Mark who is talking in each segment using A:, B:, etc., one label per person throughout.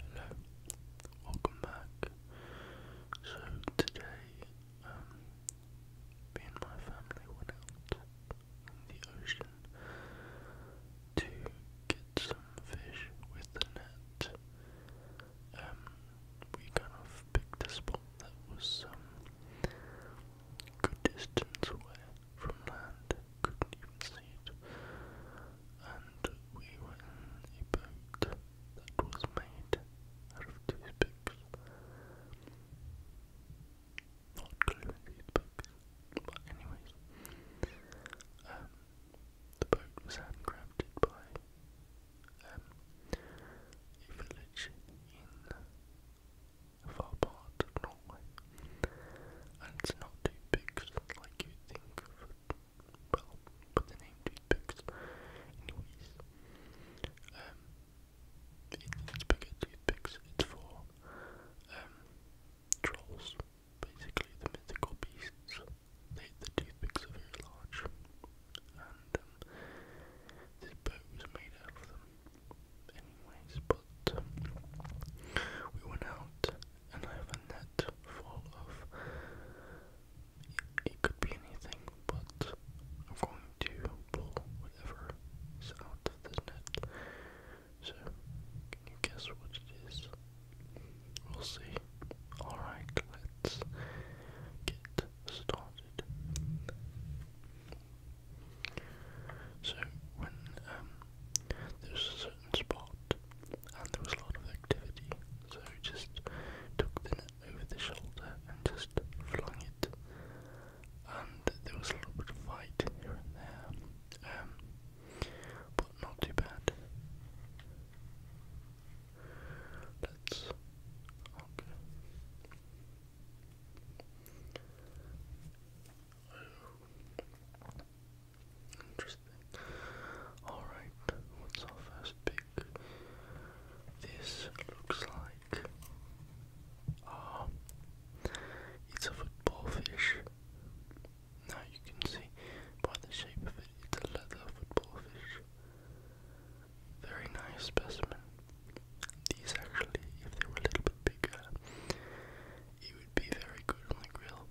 A: Hello, welcome back. So today, um, me and my family went out in the ocean to get some fish with the net. Um, we kind of picked a spot that was um good distance away from land. Couldn't even see it and we were in a boat that was made out of toothpicks. Not glue and toothpicks, but anyways. Um, the boat was handcrafted by um, a village in a Norway. And it's not too big like you think well, put the name toothpicks. Anyways, um, it's bigger toothpicks. It's for um, trolls, basically the mythical beasts. They, the toothpicks are very large, and um, this boat was made out of them. Anyways, but we went out and I have a net full of. It could be anything, but I'm going to pull whatever's out of this net. So, can you guess what it is? We'll see. Alright, let's get started. So, when um, there's certain spot, and there was a lot of activity, so just took the net over the shoulder and just flung it. And there was a little bit of fight here and there, um, but not too bad. Let's. Okay. Interesting. Alright, what's our first pick? This looks like uh, it's a football fish. Now you can see by the shape of it, it's a leather football fish. Very nice specimen. These actually, if they were a little bit bigger, it would be very good on the grill,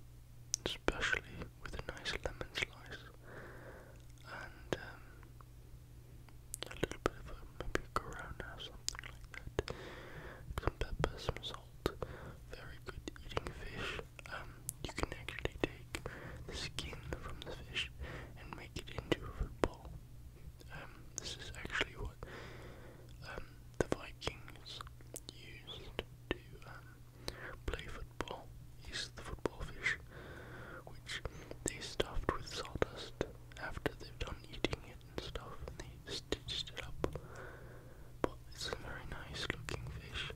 A: especially with a nice lemon slice and um, a little bit of maybe a corona or something like that. Some pepper, some salt. Very good eating fish. Um, you can actually take the skin from the fish and make it into a football. Um, this is actually what um, the Vikings used to um, Play football is the football fish, which they stuffed with sawdust after they've done eating it and stuff, and they stitched it up. But it's a very nice looking fish.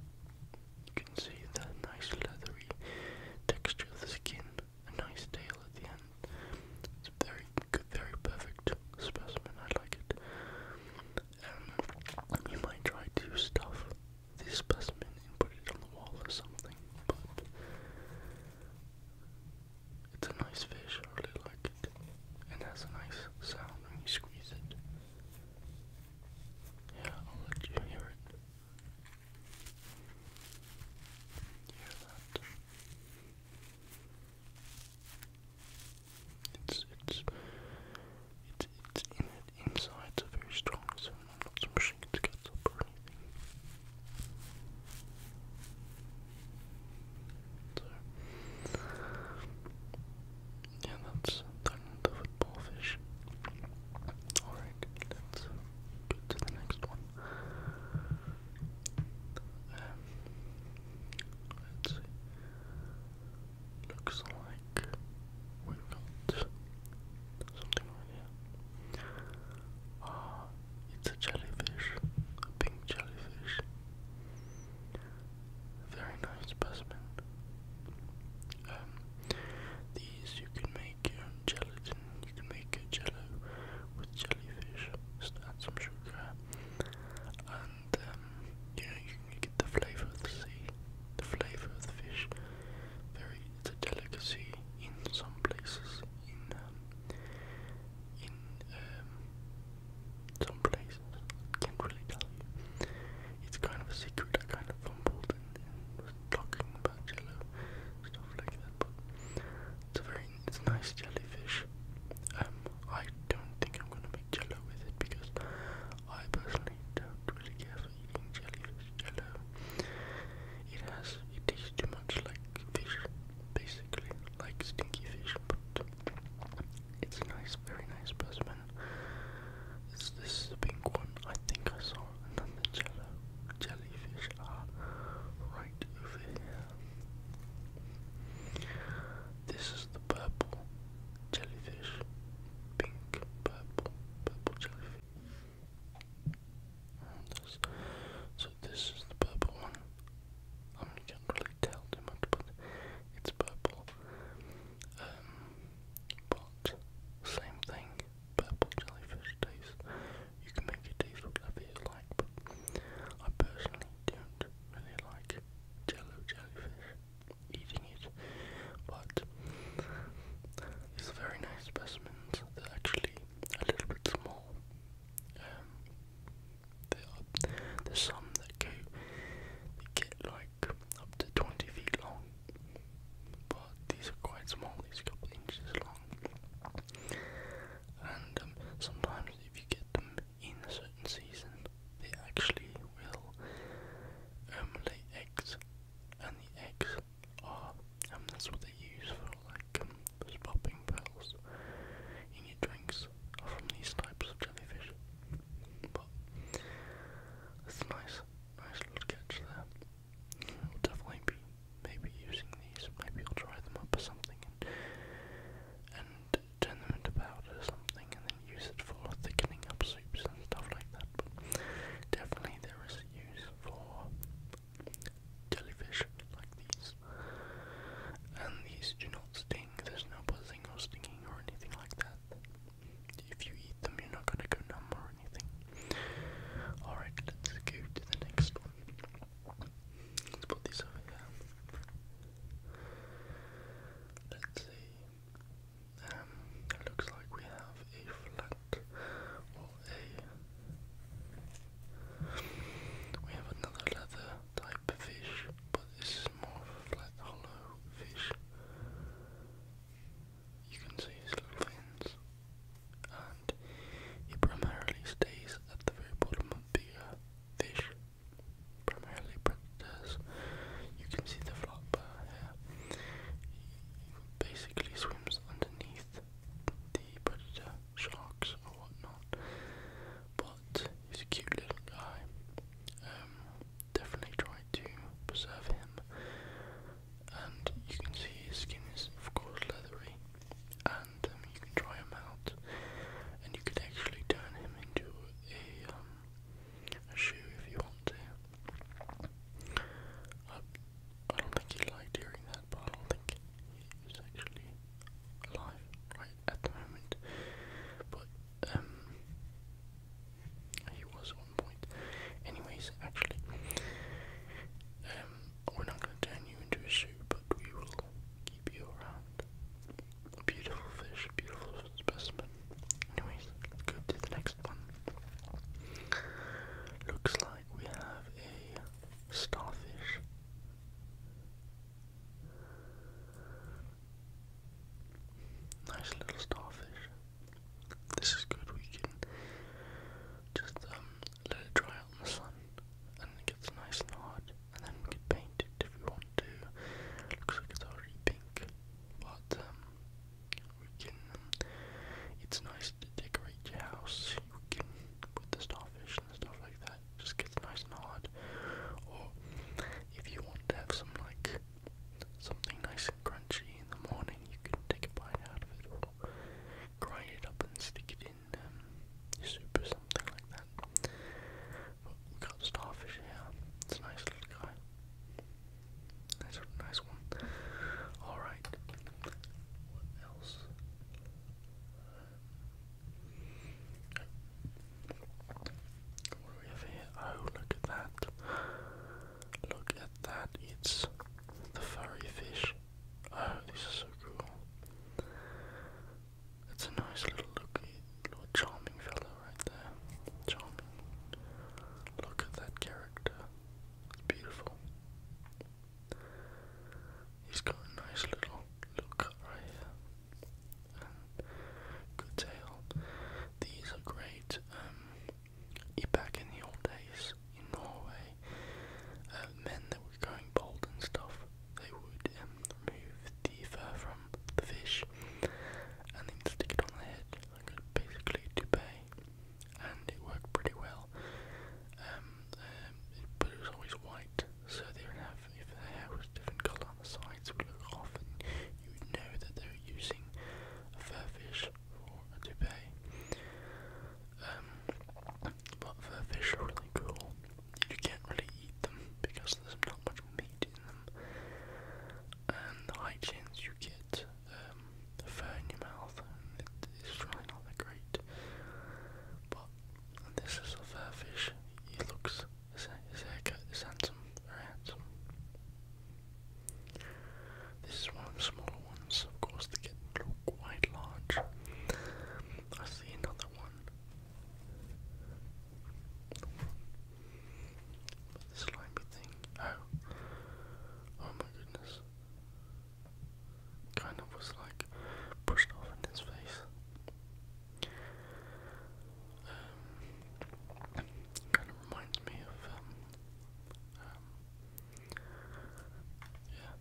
A: You can see that nice leathery texture of the skin, a nice tail at the end. It's a very good, very perfect specimen. I like it. Um, you might try to stuff the specimen and put it on the wall or something, but it's a nice fish, I really like it. And has a nice sound when you squeeze it. Yeah, I'll let you hear it. Hear that? It's it's it's it's in it inside. It's a very strong so I'm not smashing it gets up or yeah, that's done the football fish. Alright, let's go to the next one. Um, let's see. Looks like we've got something here. Ah, it's a jellyfish, a pink jellyfish. Very nice specimen. Um, these you can make your own gelatin. You can make a jello with jellyfish. Just add some sugar and um, you can get the flavour of the sea, the flavour of the fish. Very, it's a delicacy in some places. In um, in um, some places, can't really tell you. It's kind of a secret. I kind of fumbled and, and was talking about jello stuff like that, but it's a very, it's nice jellyfish. Um, I don't think I'm gonna make jello with it because I personally don't really care for eating jellyfish jello. It has, it tastes too much like fish, basically, like stinky fish, but it's a nice, very nice specimen. This, this is the pink one, I think I saw another jello, jellyfish are ah, right over here. This is the purple jellyfish, pink, purple, purple jellyfish. So this is the purple one. I can't really tell too much, but it's purple. Um, but same thing. Purple jellyfish tastes. You can make it taste whatever you like, but I personally don't really like jello jellyfish eating it, but these are very nice specimen. They're actually a little bit small. Um, are, there's some that go, get like up to 20 feet long, but these are quite small, these are a couple inches long. And um, sometimes if you get them in a certain season, they actually will um, lay eggs, and the eggs are, um, that's what they use for like popping um, pearls in your drinks, are from these types of jellyfish. But it's nice, nice little catch there. I'll definitely be maybe using these. Maybe I'll dry them up or something and turn them into powder or something and then use it for thickening up soups and stuff like that. But definitely there is use for jellyfish like these. And these do not sting, there's no buzzing or stinging or anything like that. If you eat them, you're not gonna go numb or anything. Alright, let's go to the next one. Let's put these over here. Let's see. Um, it looks like we have a flat or a we have another leather type fish, but this is more flat hollow fish. You can see his little fins. And he primarily stays at the very bottom of bigger uh, fish primarily predators. You can see the flop here. He basically swims underneath the predator sharks or whatnot. But he's a cute little guy. Um, definitely try to preserve him. And you can see his skin is of course leathery. And um, you can dry him out, and you could actually turn him into a um, a shoe if you want to. I, don't think he lied during that, I don't think he actually alive at the moment. But um, he was at point. Anyways, actually, um, we're not going to turn you into a shoe, but we will keep you around. Beautiful fish, beautiful specimen. Anyways, go to the next one. Looks like we have a starfish. Nice little starfish. This is good, we can just um, let it dry out in the sun and it gets nice and hard and then we can paint it if we want to. Looks like it's already pink but um, we can. Um, it's nice to decorate your house. You can put the starfish and stuff like that. just gets nice and hard. Or if you want to have some like something nice and crunchy in the morning, you can take a bite out of it or grind it up and stick it in um, soup or something like that. But we got starfish here. It's a nice little guy. That's a nice one. Alright. What else? What do we have here? Oh, look at that. Look at that. It's the furry fish. Oh, this is so cool. It's a nice little looky, little charming fellow right there. Charming. Look at that character. It's beautiful. He's got a nice little little right here. good tail. These are great. Um, back in the old days in Norway, uh, men that were going bald and stuff, they would remove um, the fur from the fish and then stick it on the head like a basically toupee and it worked pretty well. Um, um, but it was always white so they would have, if their hair was different colour the sides it would look off and you would know that they were using a fur fish for a toupee. Um, but fur fish are really cool. You can't really eat them because there's not much meat and the high chance you get um, fur in your mouth, it's really not that great. But this is a fur fish. It looks his, his haircut is handsome, very handsome. This is one of the smaller ones, of course, they get quite large. I see another one. But slimy thing. Oh. Oh my goodness. Kind of was like pushed off in his face. Um, kind of reminds me of, um, um, yeah,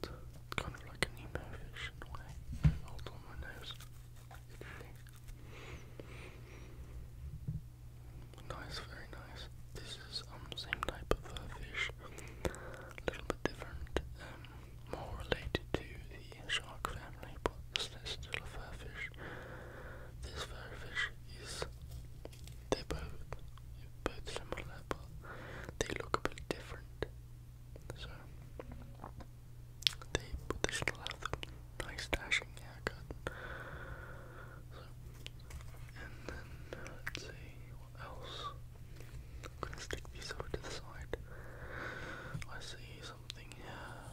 A: but kind of like an emo fish in a way. Hold on my nose. Nice, very nice. This is um same type of uh, fish, a little bit different, um, more related to the shark family, but still a fish. This fish is they both both similar, but they look a bit different. So they, but they still have nice dashing haircut. So, and then let's see what else. I'm gonna stick these over to the side. I see something here.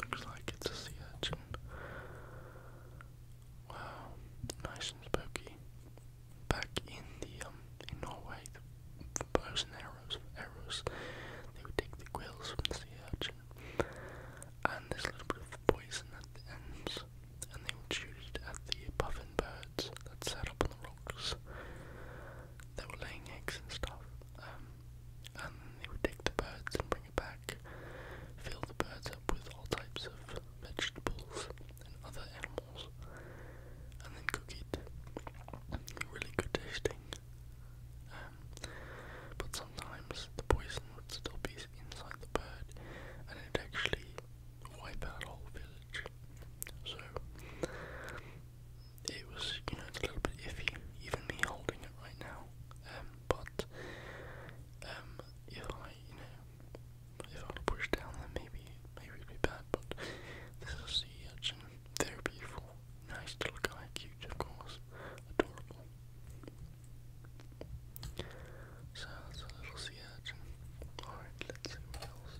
A: Looks like it's a sea urchin. Wow, nice and spooky. Back in the um, in Norway, the frozen area arrows for arrows. They would take the quills from the sea urchin, and this little bit of poison at the ends, and they would shoot it at the puffin birds that sat up on the rocks that were laying eggs and stuff. Um, and they would take the birds and bring it back, fill the birds up with all types of vegetables and other animals, and then cook it. Really good tasting, um, but sometimes the poison would still be inside the bird and it'd actually wipe out a whole village. So it was, you know, it's a little bit iffy, even me holding it right now. Um, but um, if I, you know, if I push down, then maybe, maybe it'd be bad. But this is a sea very beautiful. Nice little guy. Cute, of course. Adorable. So that's a little sea urchin. Alright, let's see what else.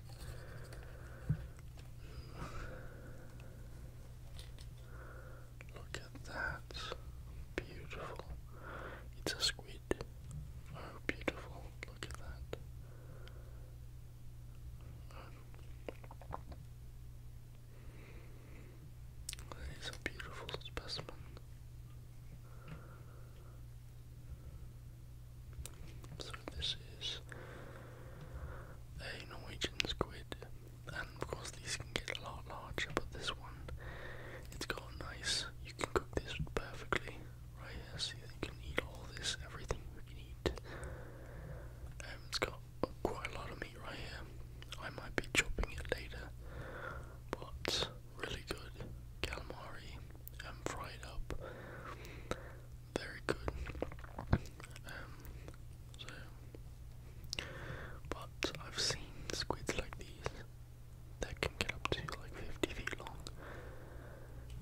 A: Look at that. Beautiful. It's a squid. Oh, beautiful. Look at that. It's a beautiful specimen. So this is a Norwegian squid, and of course these can get a lot larger, but this one, it's got nice, you can cook this perfectly, right here, you can eat all this, everything you can eat. Um, it's got quite a lot of meat right here. I might be chopping it later, but really good calamari um, fried up. Very good. Um, so, but I've seen squids like these that can get up to like 50 feet long,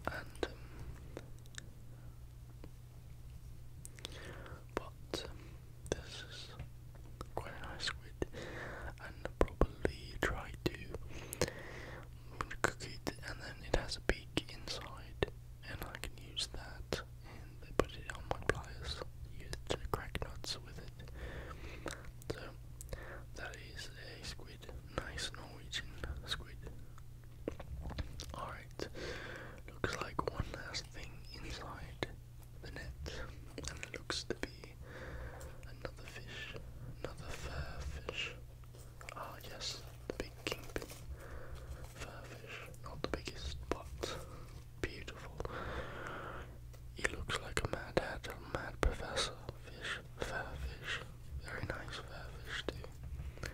A: um, but this is quite a nice squid, and probably try to cook it, and then it has a beak inside, and I can use that and put it on my pliers, use it to crack nuts with it. So that is a squid, nice Norwegian squid. Alright, looks like one last thing inside the net, and it looks to be another fish, another fair fish. Ah, yes, the big kingpin fair fish, not the biggest, but beautiful. He looks like a mad hat, a mad professor fish, fair fish, very nice fur fish too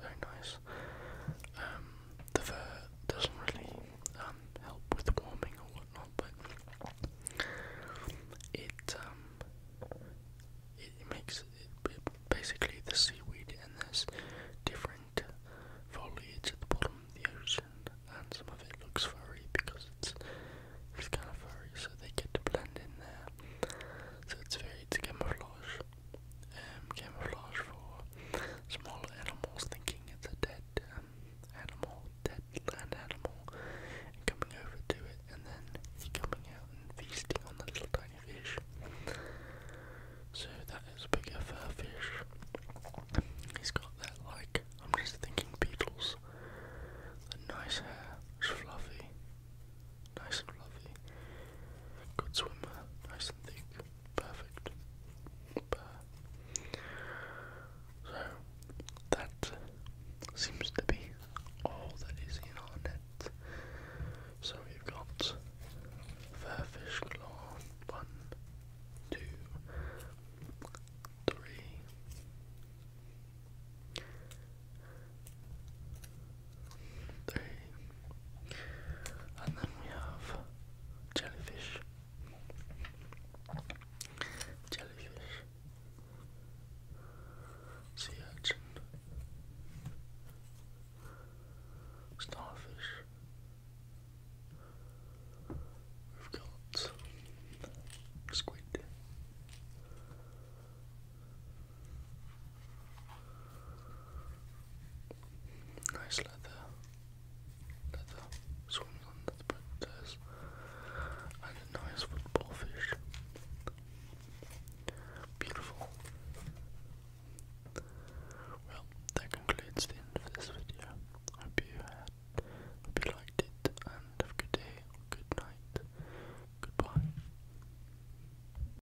A: very nice. Um, the fur doesn't really um, help with warming or whatnot, but it um, it, makes basically the seaweed and there's different foliage at the bottom of the ocean, and some of it looks furry because it's it's kind of furry, so they get to blend in there. So it's very camouflage. Um, camouflage for smaller animals thinking it's a dead um, animal, dead land animal, coming over to it, and then coming out and feasting on the little tiny fish. So that is a bigger fur fish. He's got that like, I'm just thinking beetles, the nice hair, fluffy, Nice and fluffy. Good swimmer. Nice and thick. Perfect. So, that seems to be all that is in our net. So we've got Fairfish Claw, one, two, three, three, and then we have jellyfish, jellyfish, sea urchin, starfish. We've got squid. Nice leather, leather swims on the predators, and a nice football fish. Beautiful. Well, that concludes the end of this video. Hope you had, hope you liked it, and have a good day, good night, goodbye.